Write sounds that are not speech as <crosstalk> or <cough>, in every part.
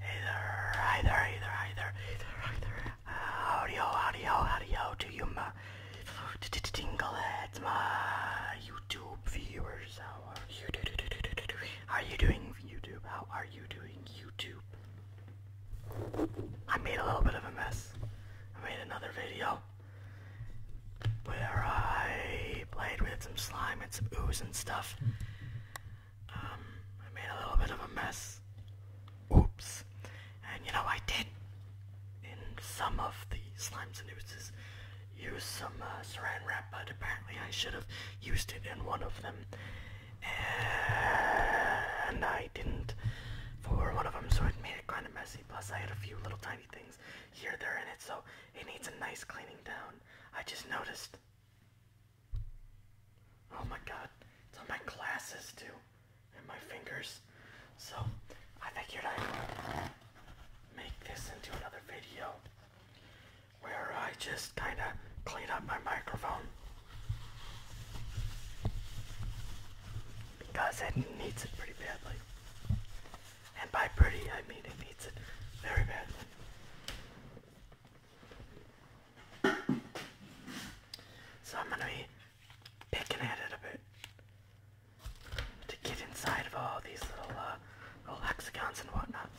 Hey there, hi there, hey there, hi there, hey to you, my tingleheads, my YouTube viewers. How are you doing, YouTube? How are you doing, YouTube? I made a little bit of a mess. I made another video where I played with some slime and some ooze and stuff. Um, I made a little bit of a mess. Oops. And you know, I did, in some of the slimes and oozes, use some uh, saran wrap, but apparently I should have used it in one of them. And I didn't for one of them, so it made it kind of messy. Plus, I had a few little tiny things here, there, in it, so it needs a nice cleaning down. I just noticed. Oh my god, it's on my glasses too, and my fingers. So I figured I'd make this into another video where I just kind of clean up my microphone because it needs it pretty badly. And by pretty, I mean it needs it very badly. So I'm gonna be picking at it a bit to get inside of all these little, uh, little hexagons and whatnot.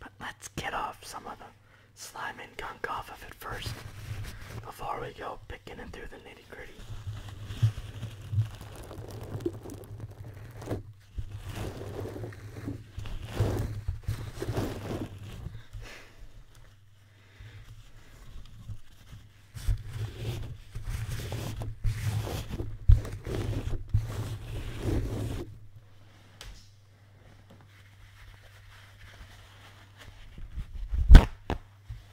But let's get off some of the slime and gunk off of it first before we go picking it through the nitty nitty gritty.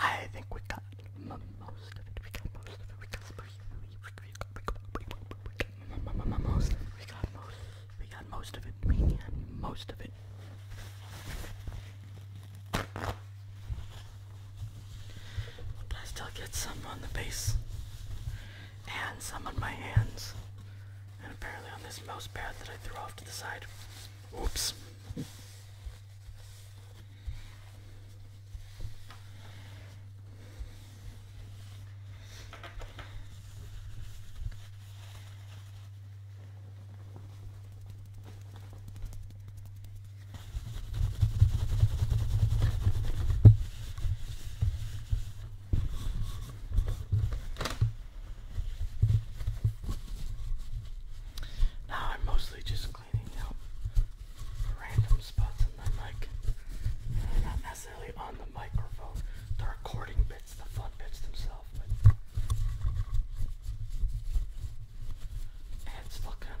I think we got most of it. We got most of it. We got most of it. We got most. We got most of it. We got most of it. But I still get some on the base and some on my hands. And apparently on this mouse pad that I threw off to the side. Oops. Now I'm mostly just cleaning out random spots in my mic. not necessarily on the microphone. The recording bits, the fun bits themselves, but and it still kind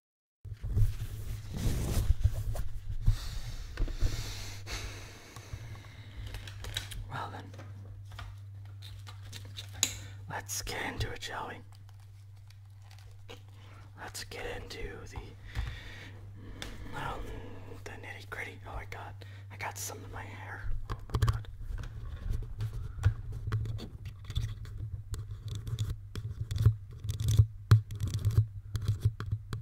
Well then, let's get into it, shall we? Let's get into the the nitty gritty. Oh, I got I got some in my hair. Oh my god.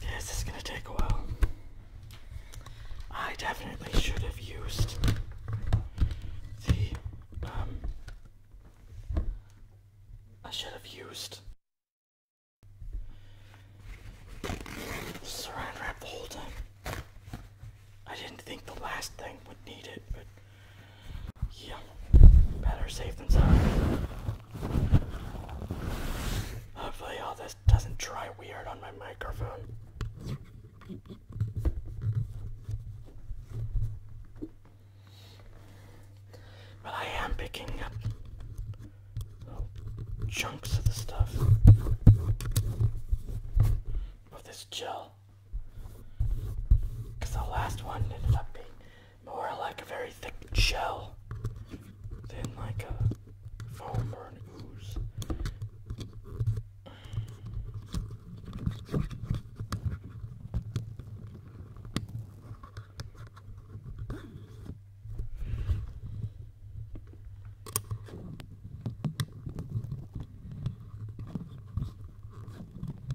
This is gonna take a while. I definitely should have used the, um, I should have used saran wrap the whole time. I didn't think the last thing would need it, but yeah, better save them sorry. Hopefully, all this doesn't dry weird on my microphone. But I am picking up chunks of the stuff of this gel. Because the last one ended up being more like a very thick shell than like a foam or an ooze.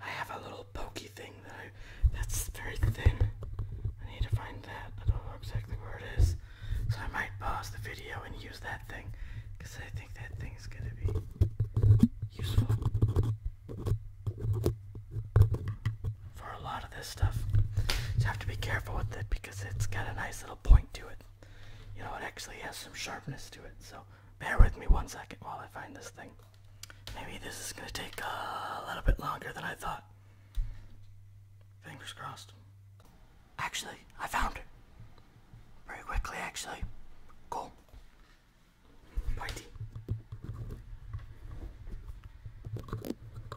I have a little pokey thing that that's very thin. I need to find that. I don't know exactly where it is. So I might pause the video and use that thing because I think that thing is going to be useful for a lot of this stuff. You have to be careful with it because it's got a nice little point to it. You know, it actually has some sharpness to it. So bear with me one second while I find this thing. Maybe this is going to take a little bit longer than I thought. Fingers crossed. Actually, I found it. Very quickly, actually. Cool. Pointy.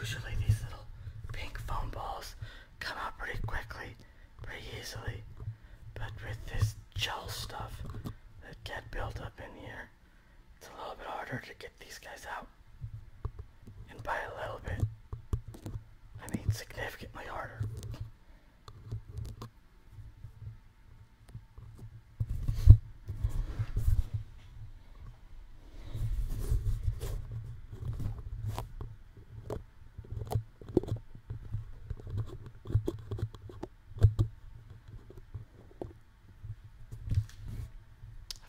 Usually these little pink foam balls come out pretty quickly, pretty easily, but with this gel stuff that get built up in here, it's a little bit harder to get these guys out. And by a little bit, I mean significantly harder.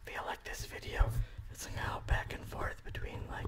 I feel like this video is gonna go back and forth between like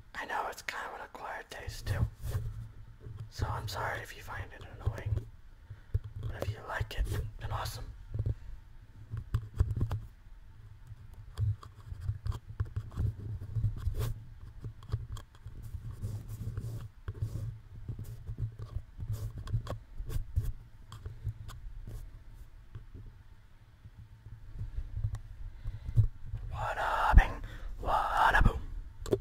I know it's kind of an acquired taste too. So I'm sorry if you find it annoying. But if you like it, then awesome. What a bing, what a boom.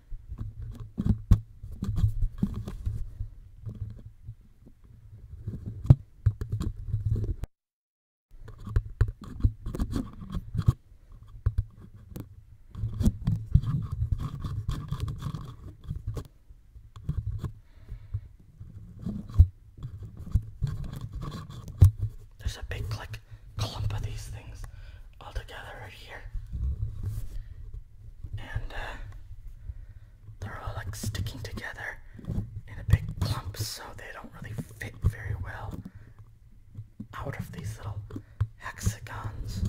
There's a big like clump of these things all together right here. And uh, they're all like sticking together in a big clump, so they don't really fit very well out of these little hexagons.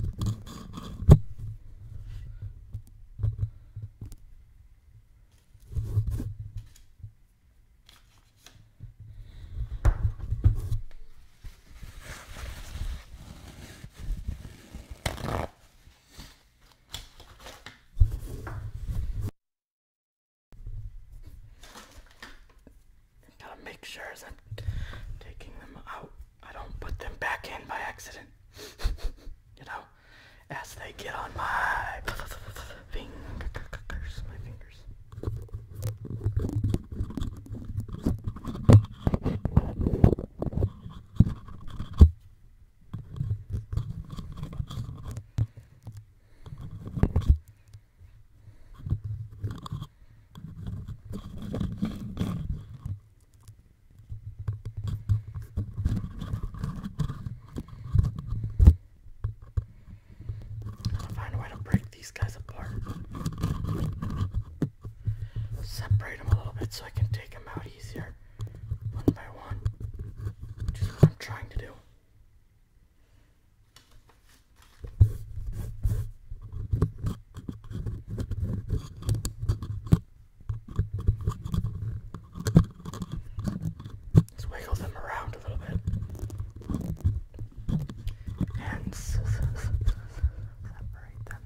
Gotta make sure as I'm taking them out, I don't put them back in by accident. <laughs> you know, as they get on my fingers, my fingers. I'll find a way to break these guys apart separate them a little bit so I can take them out easier one by one, which what I'm trying to do. let wiggle them around a little bit. And separate them.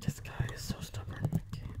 This guy is so stubborn. I can't.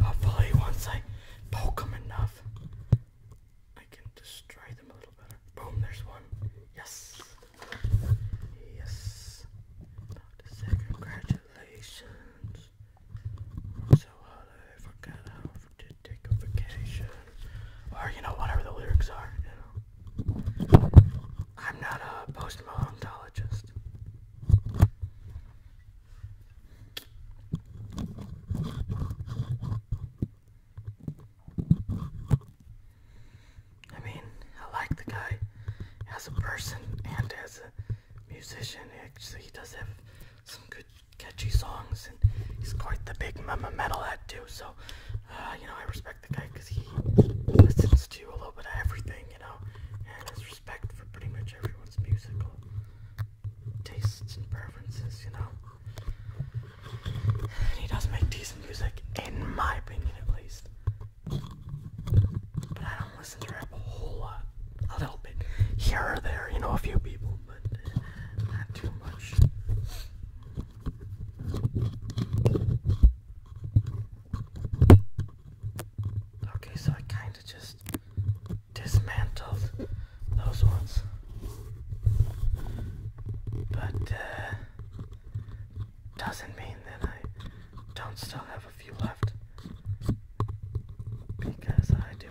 Hopefully, once I poke them enough, I can destroy them a little better. Boom, there's one. Yes. Yes. congratulations. so hot take a vacation. Or, you know, whatever the lyrics are, I'm not a post I mean, I like the guy as a person and as a musician. Actually, he does have some good catchy songs, and he's quite the big mama metalhead too. So, uh, you know, I respect the guy because he listens to a little bit of everything, you know, and his respect for pretty much everyone's musical tastes and preferences, you know. And he does make decent music, in my opinion, at least. But I don't listen to rap a whole lot, a little bit here or there, you know, a few people. Okay, so I kind of just dismantled those ones. But, uh, doesn't mean that I don't still have a few left. Because I do.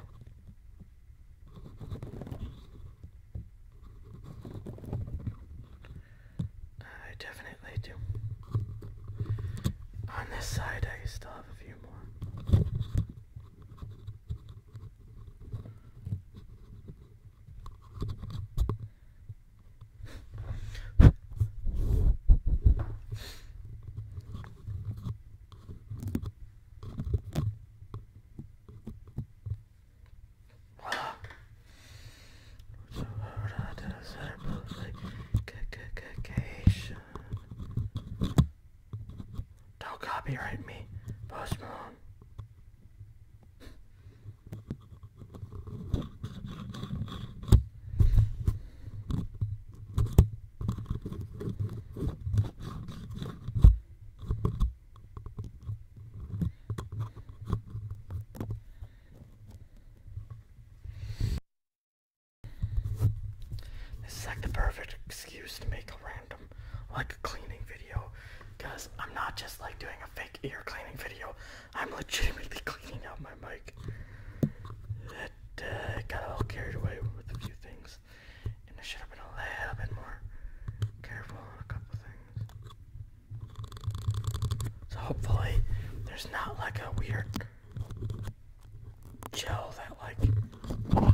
I definitely do. On this side, I still have a few more. Don't copyright me, Post Malone. This is like the perfect excuse to make a random, like, a cleaning video. Because I'm not just like doing a fake ear cleaning video, I'm legitimately <laughs> cleaning out my mic. That uh, got all carried away with a few things. And I should have been a little bit more careful on a couple things. So hopefully there's not like a weird gel that like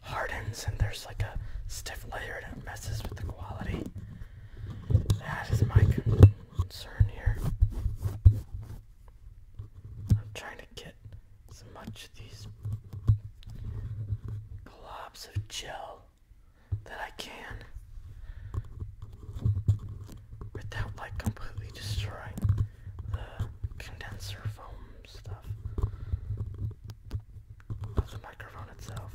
hardens and there's like a stiff layer that messes with the quality. That is my concern here. I'm trying to get as much of these globs of gel that I can without like completely destroying the condenser foam stuff of the microphone itself.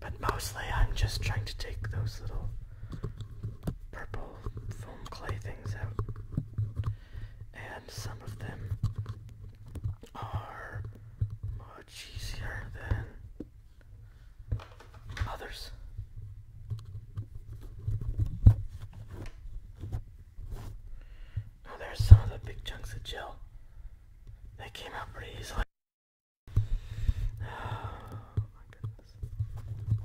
But mostly I'm just trying to take those little purple foam clay things out and some of them are much easier than others. Now there's some of the big chunks of gel. They came out pretty easily. <sighs> Oh my goodness.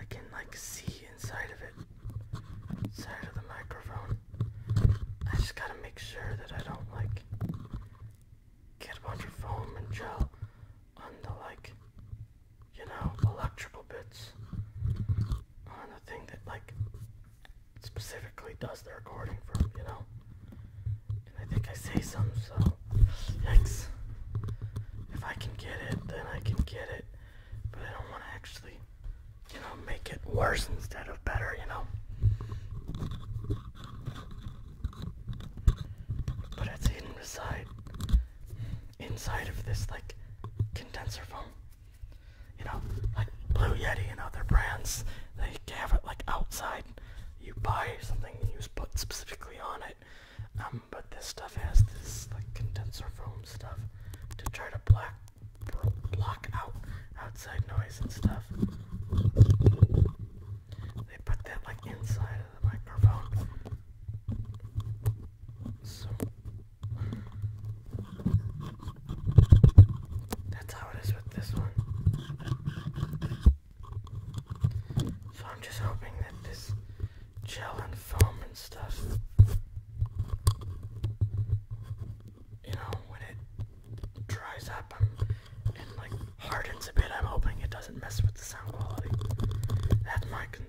I can like see inside of it, inside of the microphone. I just gotta make sure that I don't like get a bunch of foam and gel on the like you know, electrical bits on a thing that, like, specifically does the recording from, you know? I think I say some, so, yikes. If I can get it, then I can get it, but I don't want to actually, you know, make it worse instead of better, you know? But it's hidden beside inside of this like condenser foam. You know, like Blue Yeti and other brands, they have it like outside. You buy something and you put specifically on it. Um, but this stuff has this like condenser foam stuff to try to block block out outside noise and stuff. They put that like inside of the microphone. So that's how it is with this one. So I'm just hoping that this gel and foam and stuff, you know, when it dries up and like hardens a bit, I'm hoping it doesn't mess with the sound quality. That's my concern.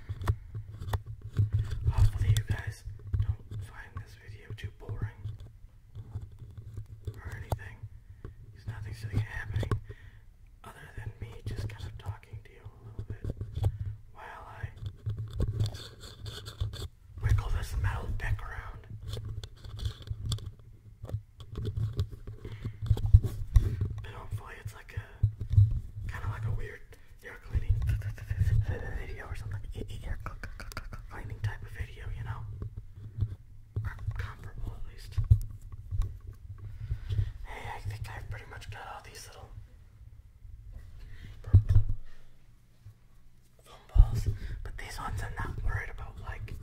Hopefully you guys don't find this video too boring or anything. Because nothing's really happening other than me just kind of talking to you a little bit while I wiggle this metal pick around. But hopefully it's like a kind of like a weird ear cleaning cleaning type of video, you know, comparable at least. Hey, I think I've pretty much got all these little foam balls, but these ones I'm not worried about like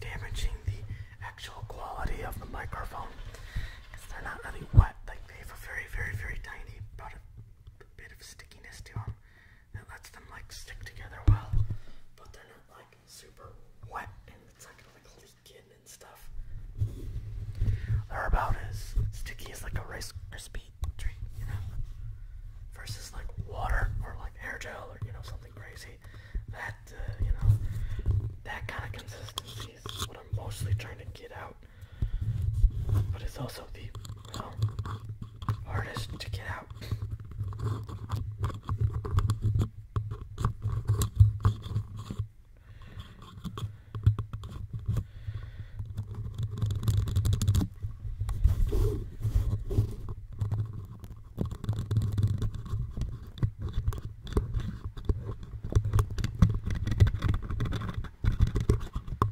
damaging the actual quality of the microphone because they're not really wet. Like they have a very, very, very tiny bit of stickiness to them that lets them like stick together well, but they're not like super wet and it's not like leaking and stuff. They're about as sticky as like a Rice crispy treat, you know, versus like water or like air gel or you know something crazy. That uh, you know that kind of consistency what I'm mostly trying to get out. But it's also the, hardest to get out.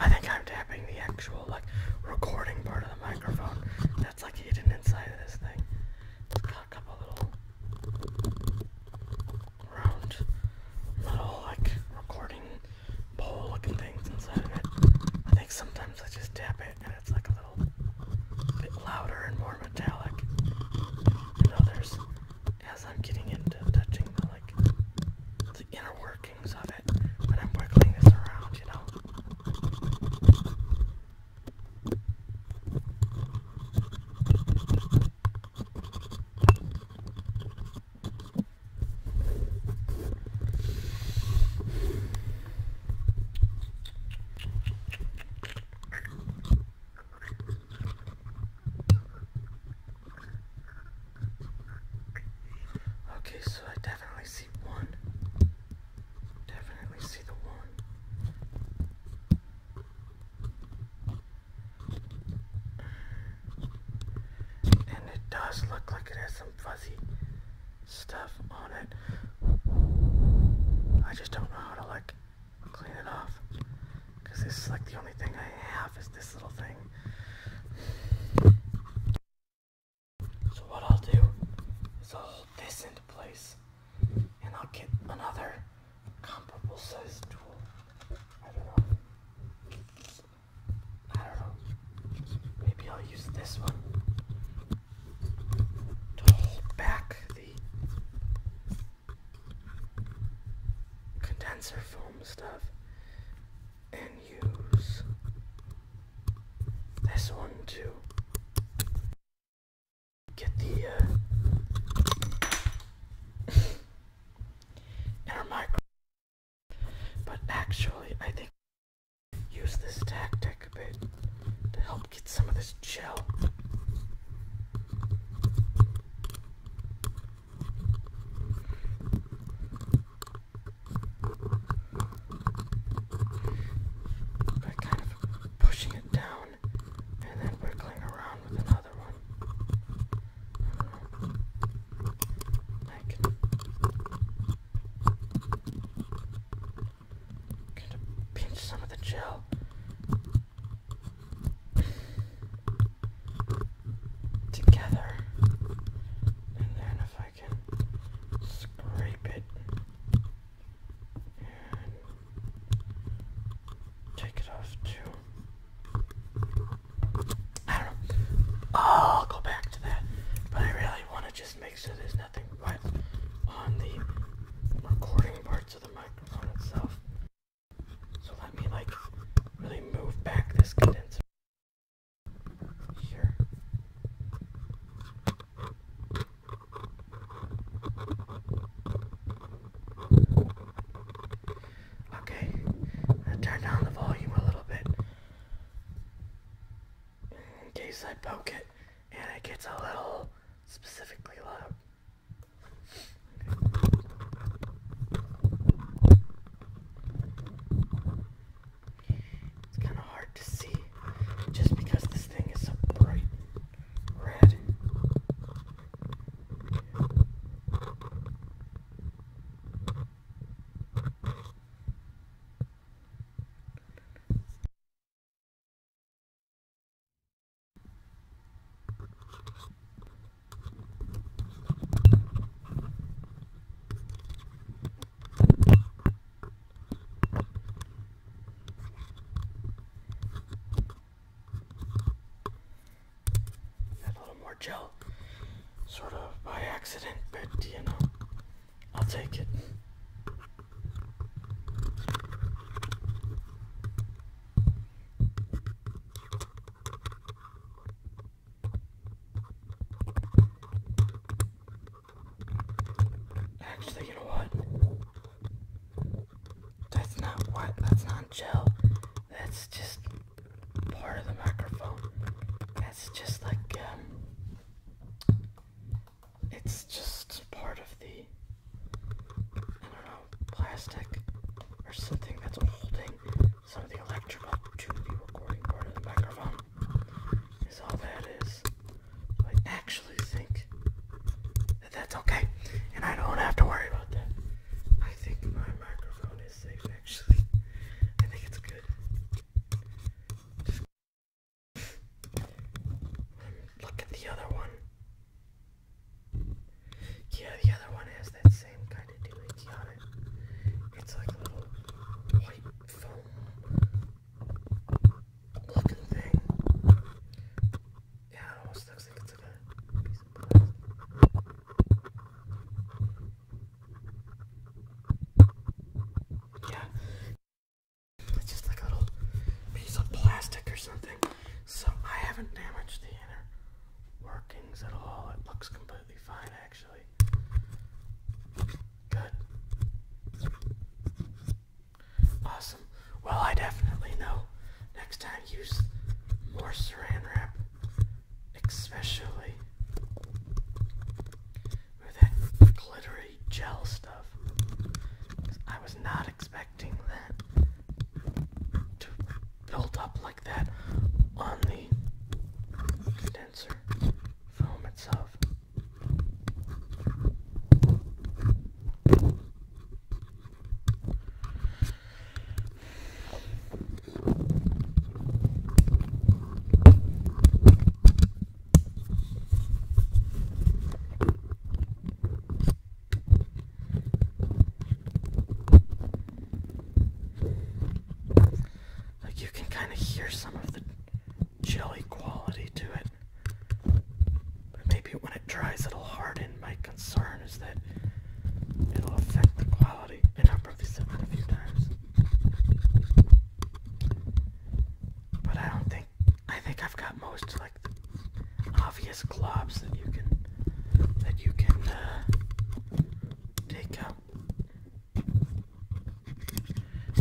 I think I'm tapping the actual like recording part of the microphone that's like hidden inside of this thing. It's got a couple little round little like recording bowl looking things inside of it. I think sometimes I just tap it it's like a little bit louder and more metallic than others as I'm getting into touching the like the inner workings of it when I'm wiggling this around, you know. Okay, so I definitely see one. Definitely see the one. And it does look like it has some fuzzy stuff on it. I just don't know how to like clean it off. Cause this is like the only thing I have is this little thing. So what I'll do is I'll hold this into place and I'll get another comparable size tool. I don't know. I don't know. Maybe I'll use this one to hold back the condenser film stuff and use this one to get the uh, inner micro. But actually, I think use this tactic a bit to help get some of this gel. By kind of pushing it down and then wiggling around with another one. I, Get a pinch some of the gel. Together. And then if I can scrape it and take it off too. I don't know. Oh, I'll go back to that. But I really want to just make sure this there's nothing but on the recording parts of the microphone itself. So let me like really move back this condenser here. Okay, turn down the volume a little bit in case I poke it and it gets a little specifically low, It's kind of hard to see just because this thing is so bright red. A little more gel, sort of by accident, but you know, I'll take it. Actually, you know what? That's not what, that's not gel. That's just part of the microphone. That's just like, um, it's just part of the I don't know plastic or something that's holding some of the electrical to the recording part of the microphone is all that is. I actually think that that's okay, and I don't have to worry about that. I think my microphone is safe actually. I think it's good. Look at the other one. Yeah, the other one has that same kind of doohickey on it. It's like a little white foam looking thing. almost looks like it's a piece of plastic. Yeah. It's just like a little piece of plastic or something. So I haven't damaged the inner workings at all. It looks completely fine actually. Good. Awesome. Well, I definitely know next time use more saran wrap, especially with that glittery gel stuff. I was not expecting that to build up like that on the denser foam itself. Like you can kind of hear some of the jelly quality to it. But maybe when it dries, it'll harden. My concern is that it'll affect the quality. And i have probably said that a few times. But I don't think I think I've got most like obvious globs that you can that you can uh, take out.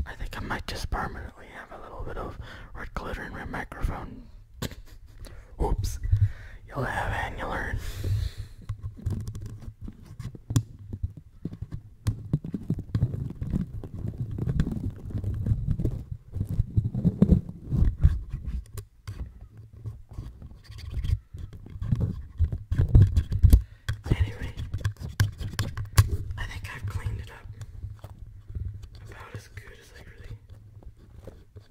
I think I might just permanently have a little bit of red glitter in my microphone. Oops. You'll have and you will learn. Anyway, I think I've cleaned it up about as good as I really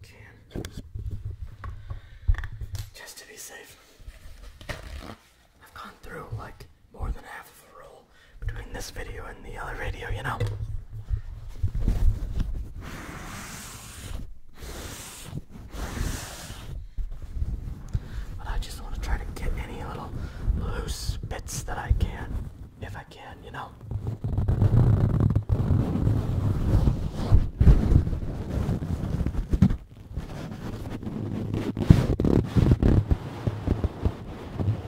can. Just to be safe. I've gone through like more than half of a roll between this video and the other radio, you know. But I just want to try to get any little loose bits that I can, if I can, you know.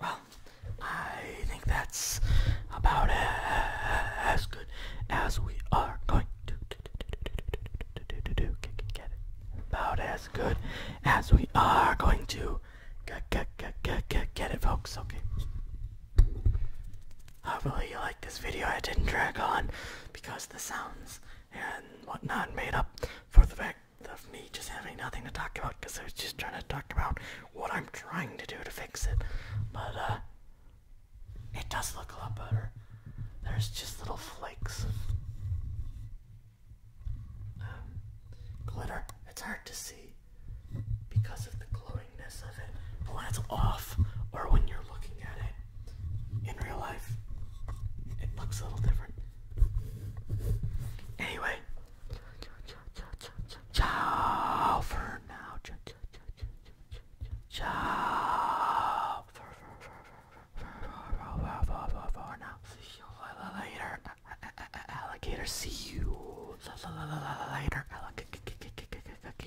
Well, I think that's about as good as we are going to Get it? About as good as we are going to get it, folks. Okay. Hopefully you like this video. I didn't drag on because the sounds and whatnot made up for the fact of me just having nothing to talk about because I was just trying to talk about what I'm trying to do to fix it. But uh it does look a lot better. There's just little flakes um, glitter. It's hard to see because of the glowingness of it. when it's off, or when you're looking at it in real life, it looks a little different. Anyway, ciao for now. Ciao for now. See you later, alligator. See you later, alligator